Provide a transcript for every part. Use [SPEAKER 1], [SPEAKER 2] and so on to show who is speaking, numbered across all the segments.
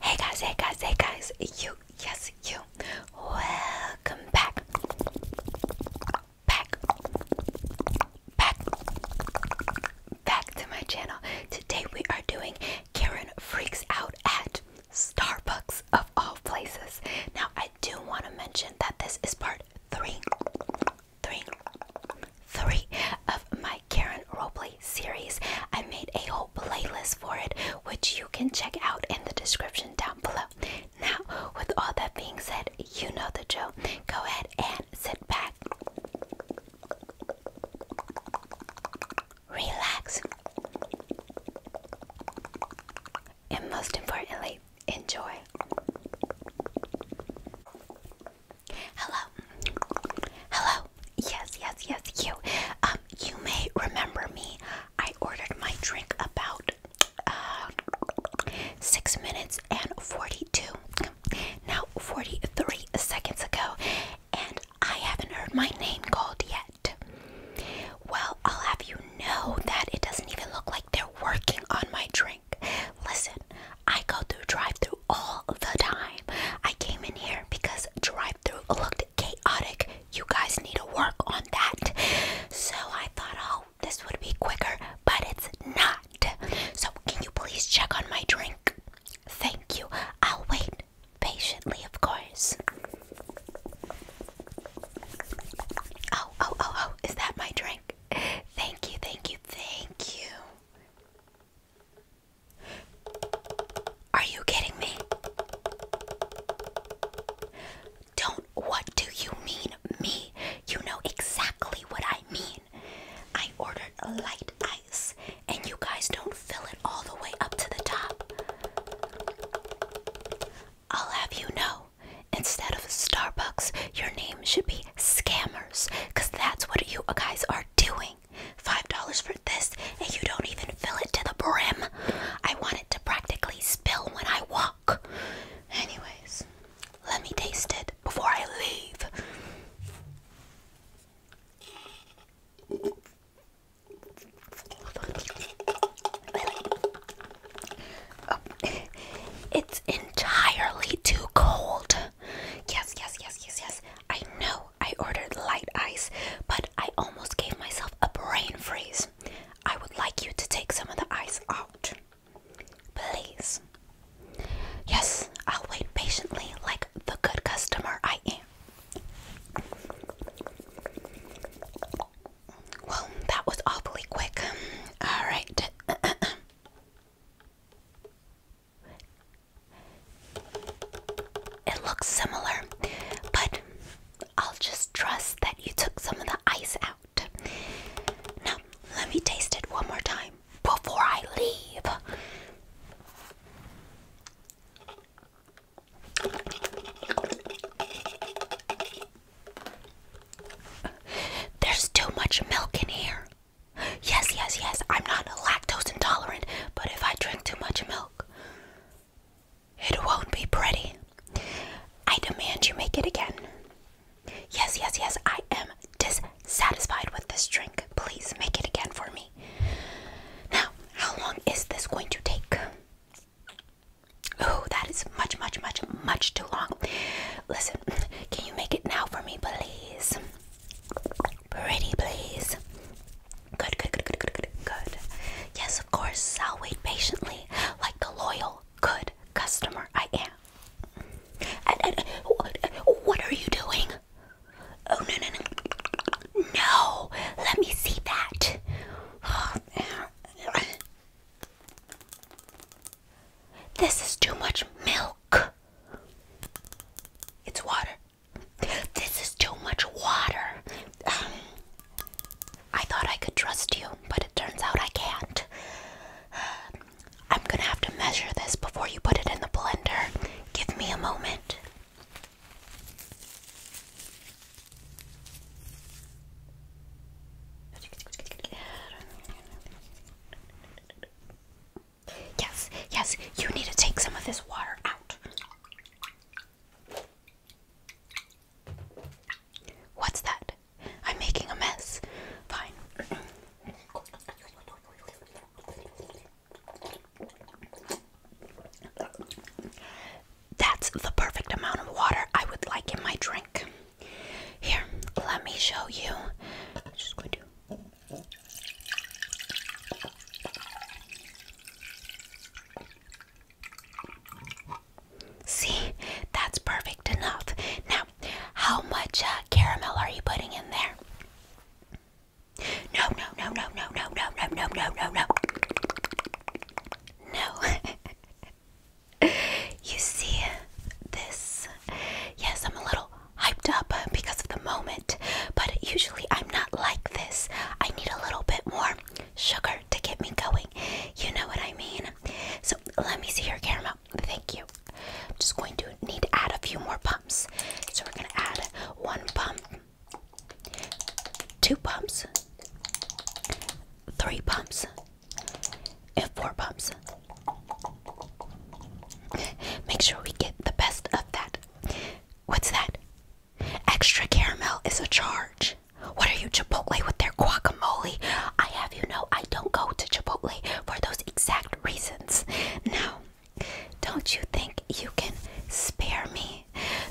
[SPEAKER 1] Hey guys, hey guys, hey guys, you, yes, you, welcome back, back, back, back to my channel. Today we are doing Karen Freaks Out at Starbucks of all places. Now I do want to mention that this is part three, three, three of my Karen roleplay series. I made a whole playlist for it, which you can check out in the description down below. Now, with all that being said, you know the joke. Go ahead and sit back, relax, and most importantly, enjoy. Hello. Hello. Yes, yes, yes, you. Um, you may remember me. I ordered my drink about uh, 6 minutes and 42, now 43 seconds ago, and I haven't heard my name called yet. Well, I'll have you know that it doesn't even look like they're working on my drink. Listen, I go through drive-through all the time. I came in here because drive-through looked chaotic. You guys need to work on that. So I thought, oh, this would be quicker, but it's not. So can you please check on my drink? Thank you. I'll wait patiently, of course. Oh, oh, oh, oh, is that my drink? Thank you, thank you, thank you. Are you kidding me? Don't. What do you mean, me? You know exactly what I mean. I ordered light ice, and you guys don't fill it all the way up to the top. I'll have you know, instead of Starbucks, your name should be Scammers, because that's what you guys are doing. Five dollars for this, and you don't even fill it to the brim. I want it to practically spill when I walk. Anyways, let me taste it before I leave. Oh, it's entirely too cold. Yes, yes, yes, yes, yes. I know I ordered light ice, but I almost gave myself a brain freeze. I would like you to take some of the ice out. Please. Yes, I'll wait patiently like the good customer I am. Well, that was awfully quick. Alright. It looks similar, but I'll just trust that you took some of the ice out. Now, let me taste it one more time before I leave. There's too much milk in here. Yes, yes, yes. I'm not lactose intolerant, but if I drink too much milk, it won't be pretty. I demand you make it again. Yes, yes, yes. I am dissatisfied with this drink. Please make it again for me. Now, how long is this going to take? Oh, that is much, much, much, much too long. Listen, can you make it now for me, please? Pretty please. Good, good, good, good, good, good, good. Yes, of course, I'll wait patiently, like the loyal, good customer I am. what are you doing? Oh, no, no, no. No, let me see that. This is too much milk. It's water. This is too much water. Um, I thought I could trust you, but it turns out I can't. I'm gonna have to measure this before you put it in the blender. Give me a moment. Yes, yes, you need to take some of this water out. What's that? I'm making a mess. Fine. That's the perfect amount of water I would like in my drink. Here, let me show you. See, that's perfect enough. Now, how much uh, caramel are you putting in there? No, no, no, no, no, no, no, no, no, no, no, no. No. you see this? Yes, I'm a little hyped up uh, because of the moment, but usually I'm not like this. I need a little bit more sugar to get me going. You know what I mean? So let me see your caramel. Thank you. I'm just going to need to add a few more pumps. So we're going to add one pump, two pumps, three pumps, and four pumps. Make sure we get the best of that. What's that? Extra caramel is a charge. What are you, Chipotle, with their guacamole? I have you know I don't go to Chipotle for those exact reasons. Now, don't you think you can spare me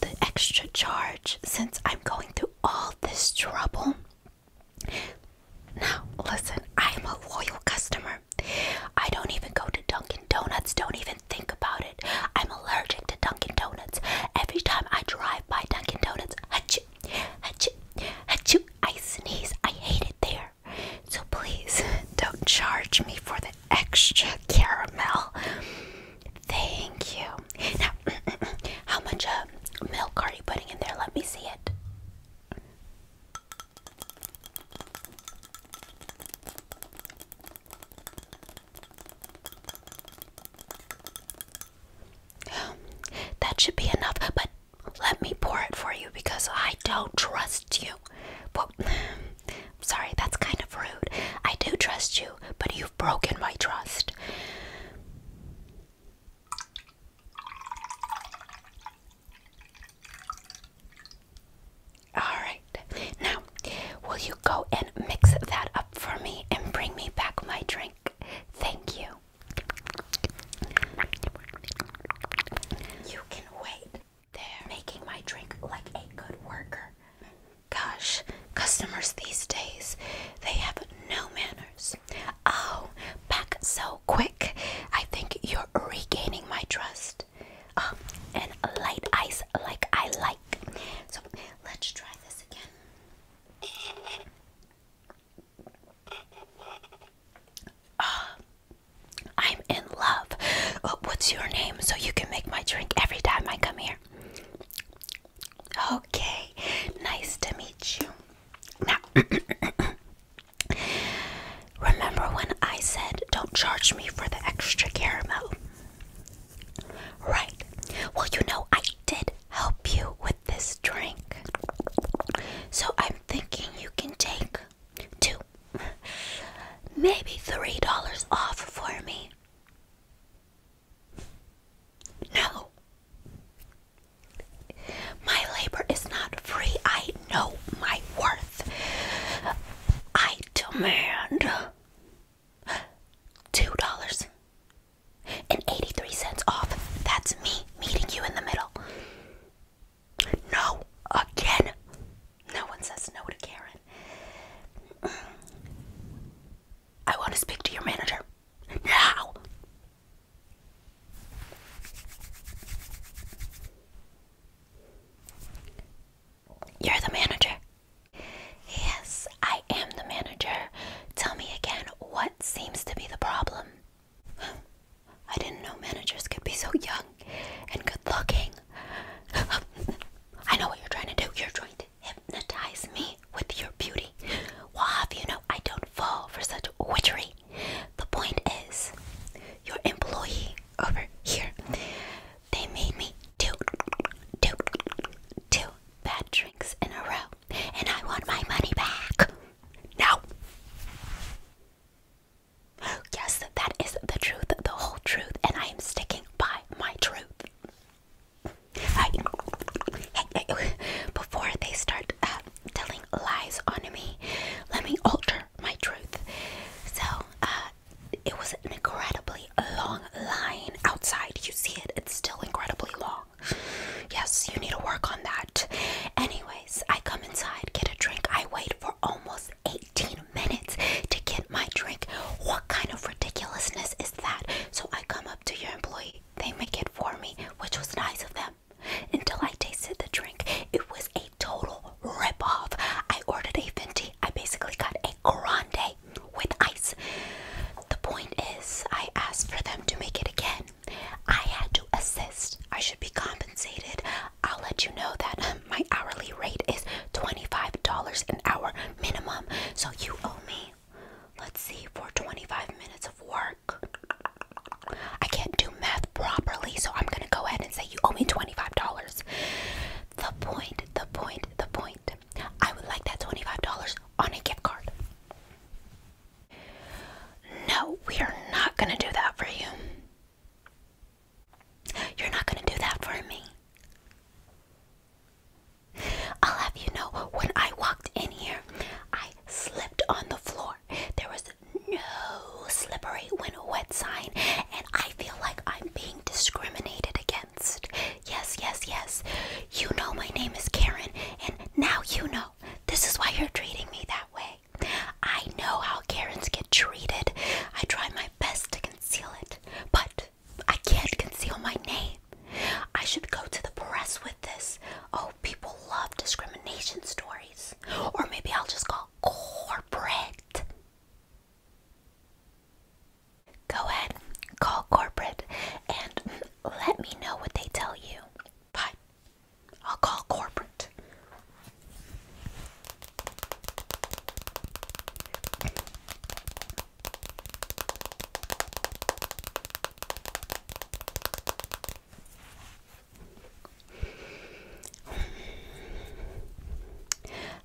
[SPEAKER 1] the extra charge since I'm going through all this trouble? Now, listen, I am a loyal customer. I don't even go to Dunkin' Donuts, don't even think about it. I'm allergic to Dunkin' Donuts. Every time I drive by Dunkin' Donuts, I achoo, I achoo, I I sneeze. I hate it there. So please don't charge me for the extra caramel. Thank you. Now, how much uh, milk are you putting in there? Let me see it. That should be enough, but let me pour it for you because I don't trust you. Well, sorry, that's kind of rude. I do trust you, but you've broken my trust. Alright, now will you go and mix that up for me and bring me back my drink? Thank you. You can wait. they making my drink like a good worker. Gosh, customers these days, they have no manners. Oh, back so quick. I think you're regaining my trust. Um, and light ice like I like. So let's try this again. Oh, I'm in love. Uh, what's your name so you can make my drink every time I come here? Okay, nice to meet you. Now, Remember when I said don't charge me for the extra caramel? Right. Well, you know, I did help you with this drink. So I'm thinking you can take two, maybe three dollars off for me. No. My labor is not free. I know my worth. I demand two dollars and eighty three cents off. That's me meeting you in the middle. No, again. No one says no to Karen. I want to speak to your manager now. You're the manager. Yes, I am the manager. Tell me again what seems to be the problem. I didn't know managers could be so young and good looking. I know what you're trying to do. You're trying to hypnotize me with your beauty. Well, you know I don't fall for such witchery. The point is, your employee over here, they made me do, do, do bad drinks in a row, and I want my money back. Now, yes, that is the truth, the whole truth, and I am sticking by my truth. before they start uh, telling lies on me. Let me alter my truth. So, uh, it was an incredibly long line outside. You see it, it's still incredibly long. Yes, you need to work on that. Anyways, I come inside, get a drink. I wait for almost 18 minutes to get my drink. What kind of ridiculousness is that? So I come up to your employee, they make it for me, which was nice of them until I tasted the drink. It was a total ripoff. I ordered a venti. I basically got a grande with ice. The point is, I asked for them to make it again. I had to assist. I should be compensated. I'll let you know that um, my hourly rate is $25 an hour minimum. So you owe me, let's see, for 25 minutes of work. I can't do math properly, so I'm gonna go ahead and say you owe me $25. The point, the point, the point. I would like that $25 on a gift card. No, we are not gonna do that for you. You're not gonna do that for me. I'll have you know when I walked in here, I slipped on the floor. There was no slippery when wet sign, and I feel like I'm being discriminated against. Yes, yes, yes. You know my name is Karen, and now you know. This is why you're treating me that way. I know how Karens get treated. I try my best to conceal it, but I can't conceal my name. I should go to the press with this. Oh people love discrimination stories. Or maybe I'll just call corporate. Go ahead, call corporate and let me know what they tell you. Bye. I'll call corporate.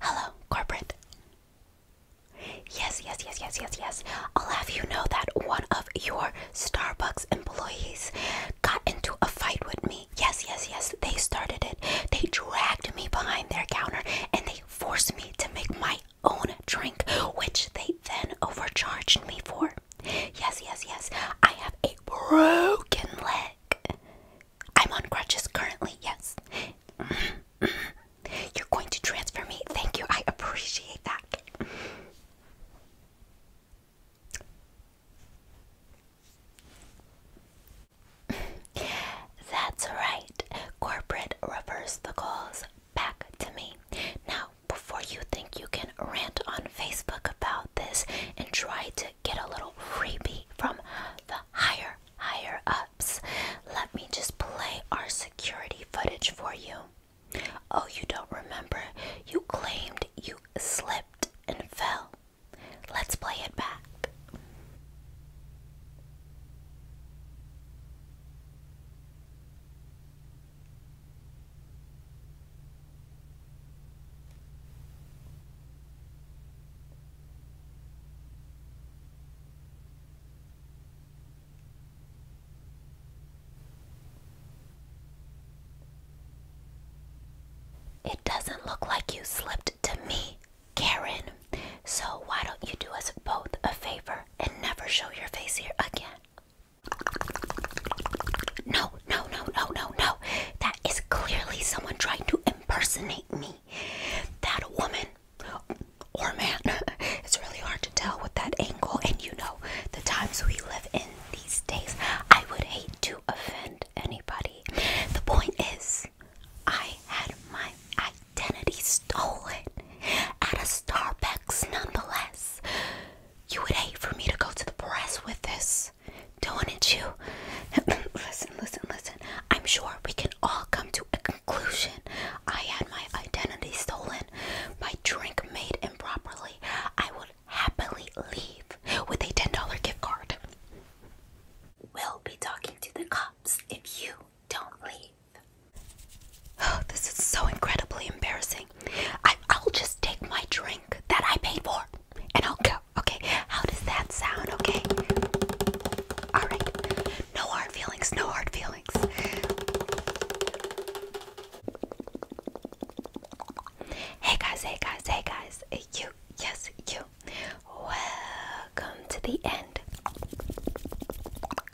[SPEAKER 1] Hello, corporate. Yes, yes, yes, yes, yes, yes. I'll have you know that one of your Starbucks employees got into a fight with me. Yes, yes, yes. They started it. They dragged me behind their counter and they forced me to make my own drink, which they then overcharged me for. Yes, yes, yes. I have a broken leg. I'm on crutches currently, yes. You're going to transfer me. Thank you. I appreciate that. That's right. Corporate reverse the calls back to me. Now, before you think you can rant on Facebook about this and try to get a little freebie from the higher, higher ups, let me just play our security footage for you. Oh, you don't remember? You claimed you slipped and fell. Let's play it back. It doesn't look like you slipped to me, Karen. So why don't you do us both a favor and never show your face here again? No, no, no, no, no, no. That is clearly someone trying to impersonate me. That woman or man. It's really hard to tell with that angle, and you know the times we live in these days. I would hate to offend anybody. The point is, I had my identity stolen at a Starbucks nonetheless. You would hate for me to go to the press with this, don't you? listen, listen, listen. I'm sure we can all come to a conclusion. I had my identity stolen, my drink made improperly. I would happily leave with a $10 gift card. We'll be talking to the cops if you don't leave. Oh, this is so incredibly embarrassing. I, I'll just take my drink that I paid for and I'll go. Okay, how does that sound? Okay. Alright. No hard feelings, no hard feelings. Hey guys, hey guys, hey guys. You, yes, you. Welcome to the end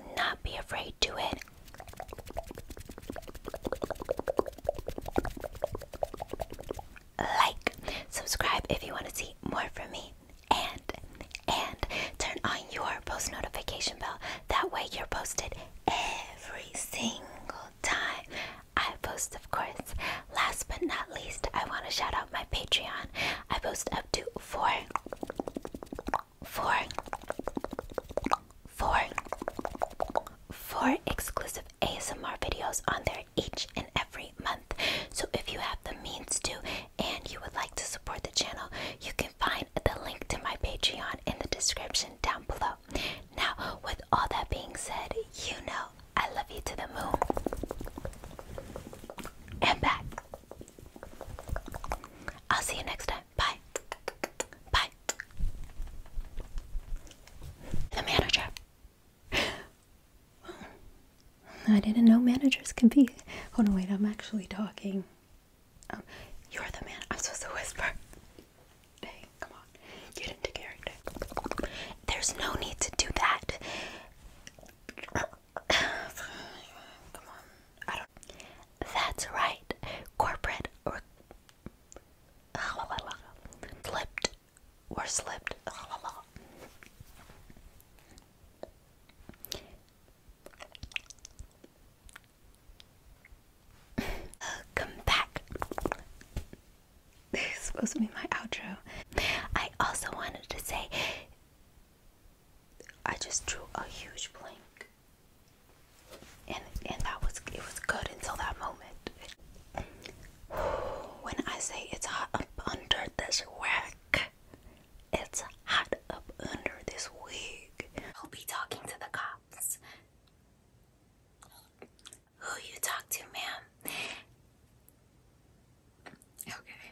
[SPEAKER 1] Do not be afraid to it. Like, subscribe if you want to see more from me, and and turn on your post notification bell. That way, you're posted every single time I post, of course. Last but not least, I want to shout out my Patreon. I post up to four four, four, four exclusive ASMR videos on there each and every month. So if you have the means to and you would like to support the channel, you can find the link to my Patreon in the description down below. Now, with all that being said, you know I love you to the moon. And back. I'll see you next time. Bye. Bye. The manager. I didn't know managers could be. Oh no, wait, I'm actually talking. Um, you're the man. I'm supposed to whisper. Hey, come on. Get into character. There's no need to do that. come on. That's right. Corporate or slipped or slipped. come back. This is supposed to be my outro. I also wanted to say I just drew a huge blank. And and that was it was good until that moment. When I say it's hot up under this rack, it's hot up under this wig. I'll be talking to the cops. Who you talk to, ma'am? Okay.